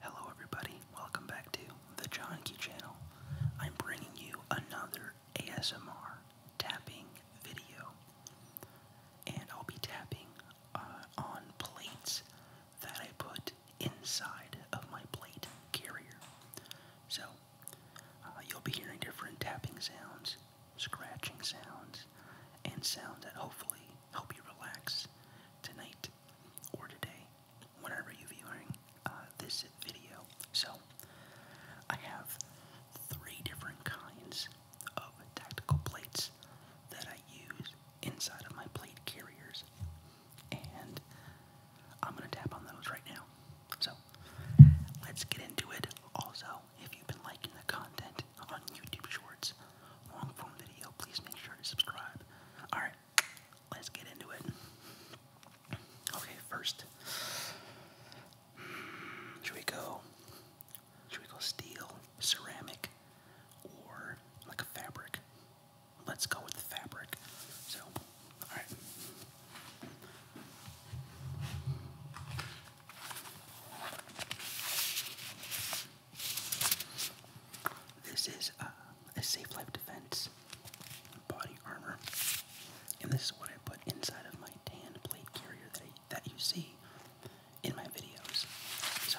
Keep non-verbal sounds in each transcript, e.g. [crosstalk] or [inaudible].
Hello everybody, welcome back to the John Key channel. I'm bringing you another ASMR tapping video. And I'll be tapping uh, on plates that I put inside of my plate carrier. So, uh, you'll be hearing different tapping sounds, scratching sounds, and sounds that hopefully help you relax tonight or today, whenever you're viewing uh, this video. So, I have three different kinds of tactical plates that I use inside of my plate carriers, and I'm going to tap on those right now. So, let's get into it. Also, if you've been liking the content on YouTube Shorts, long form video, please make sure to subscribe. Alright, let's get into it. Okay, first, should we go? Should we go steel, ceramic, or like fabric? Let's go with the fabric. So, alright. This is uh, a safe life defense body armor, and this is what I put inside of my tan plate carrier that, that you see in my videos. So.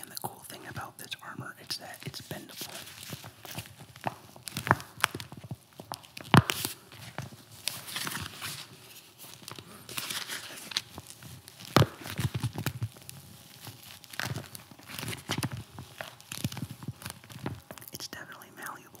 And the cool thing about this armor is that it's bendable. It's definitely malleable.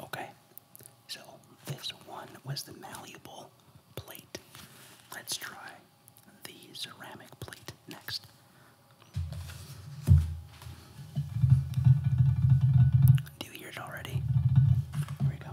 Okay, so this one was the malleable plate. Let's try the ceramic plate next. Do it already? Here we go.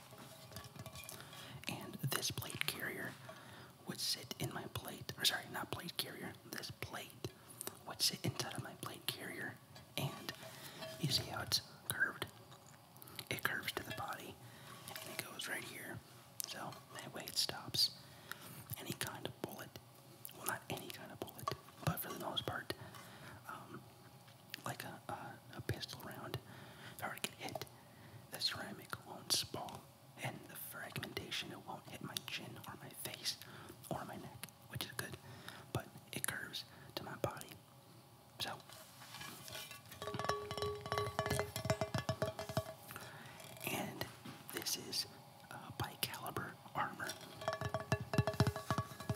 And this plate carrier would sit in my plate, or sorry, not plate carrier, this plate would sit inside of my plate carrier. And you see how it's curved? It curves to the body and it goes right here. So that way it stops any kind of bullet. Well, not any kind of bullet, but for the most part, um, like a, a, pistol round. If I were to get hit, the ceramic won't spall, and the fragmentation it won't hit my chin or my face or my neck, which is good, but it curves to my body. So, and this is uh, Armor.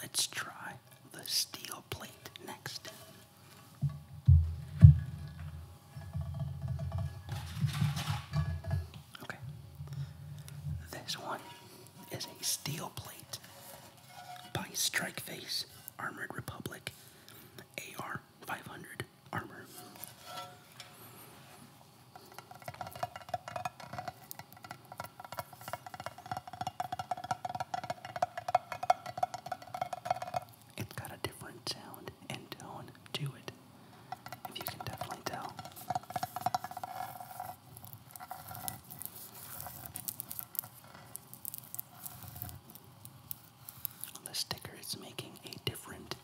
Let's try the steel plate next. Okay. This one is a steel plate by Strikeface Armored Republic AR 500 armor. It's got a different sound and tone to it, if you can definitely tell. The sticker is making a different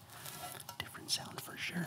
different sound for sure.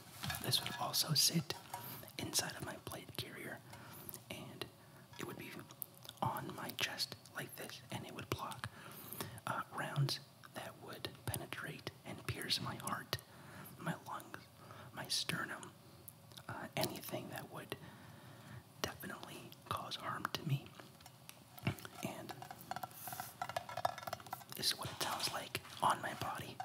This would also sit inside of my plate carrier and it would be on my chest like this and it would block uh, rounds that would penetrate and pierce my heart, my lungs, my sternum, uh, anything that would definitely cause harm to me. And this is what it sounds like on my body.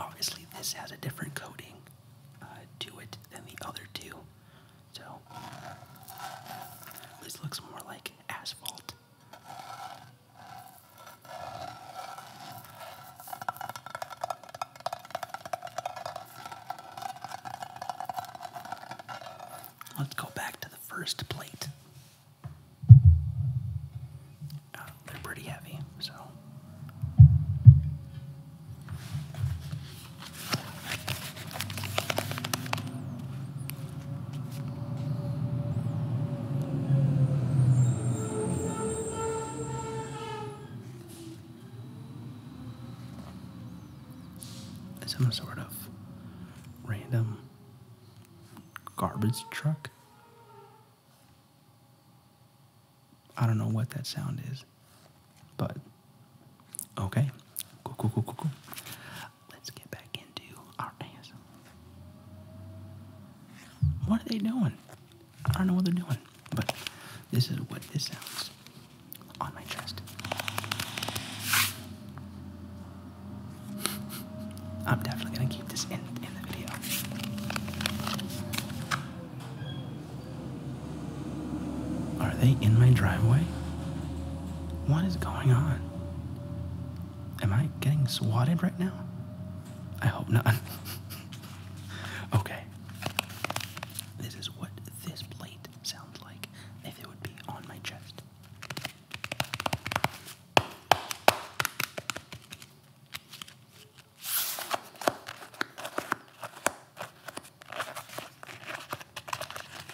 Obviously, this has a different coating uh, to it than the other two, so this looks more like asphalt. Let's go back to the first plate. Uh, they're pretty heavy, so some sort of random garbage truck. I don't know what that sound is, but okay, cool, cool, cool, cool, cool let's get back into our ass. What are they doing? I don't know what they're doing, but this is what this sounds on my chest. I'm definitely gonna keep this in in the video. Are they in my driveway? What is going on? Am I getting swatted right now? I hope not. [laughs] okay. This is what this plate sounds like if it would be on my chest.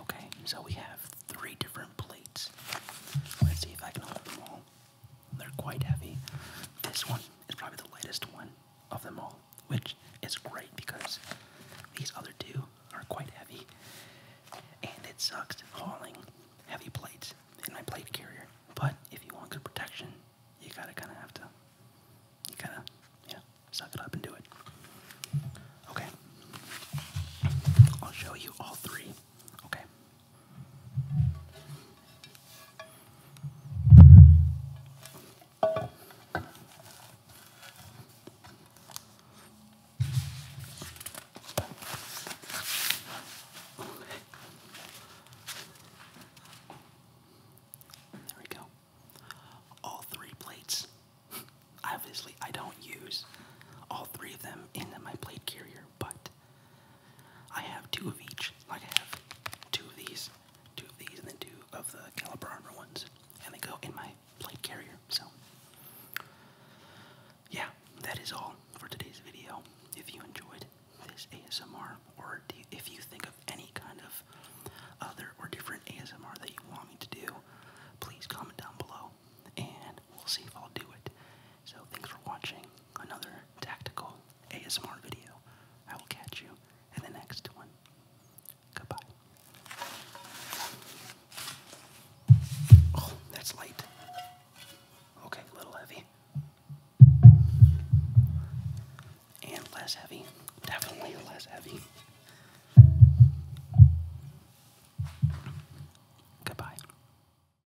Okay, so we have three different plates. Let's see if I can hold them all. They're quite heavy. This one is probably the lightest one of them all, which is great because these other two are quite heavy. And it sucks hauling heavy plates in my plate carrier. But if you want good protection, you gotta kinda have to you gotta yeah, suck it up and do it. Okay. I'll show you all three. Okay. There we go. All three plates. [laughs] Obviously, I don't use all three of them in my plate carrier, but I have two of each. Like I have two of these, two of these, and then two of the caliber armor ones. And they go in my plate carrier. So yeah, that is all for today's video. If you enjoyed this ASMR, or if you think of any kind of other or different ASMR that you want me to do, please comment down below and we'll see if I'll do it. So thanks for watching another tactical ASMR video. I will catch you in the next one. Goodbye. Oh, that's light. Okay, little heavy. And less heavy. Definitely less heavy. Goodbye.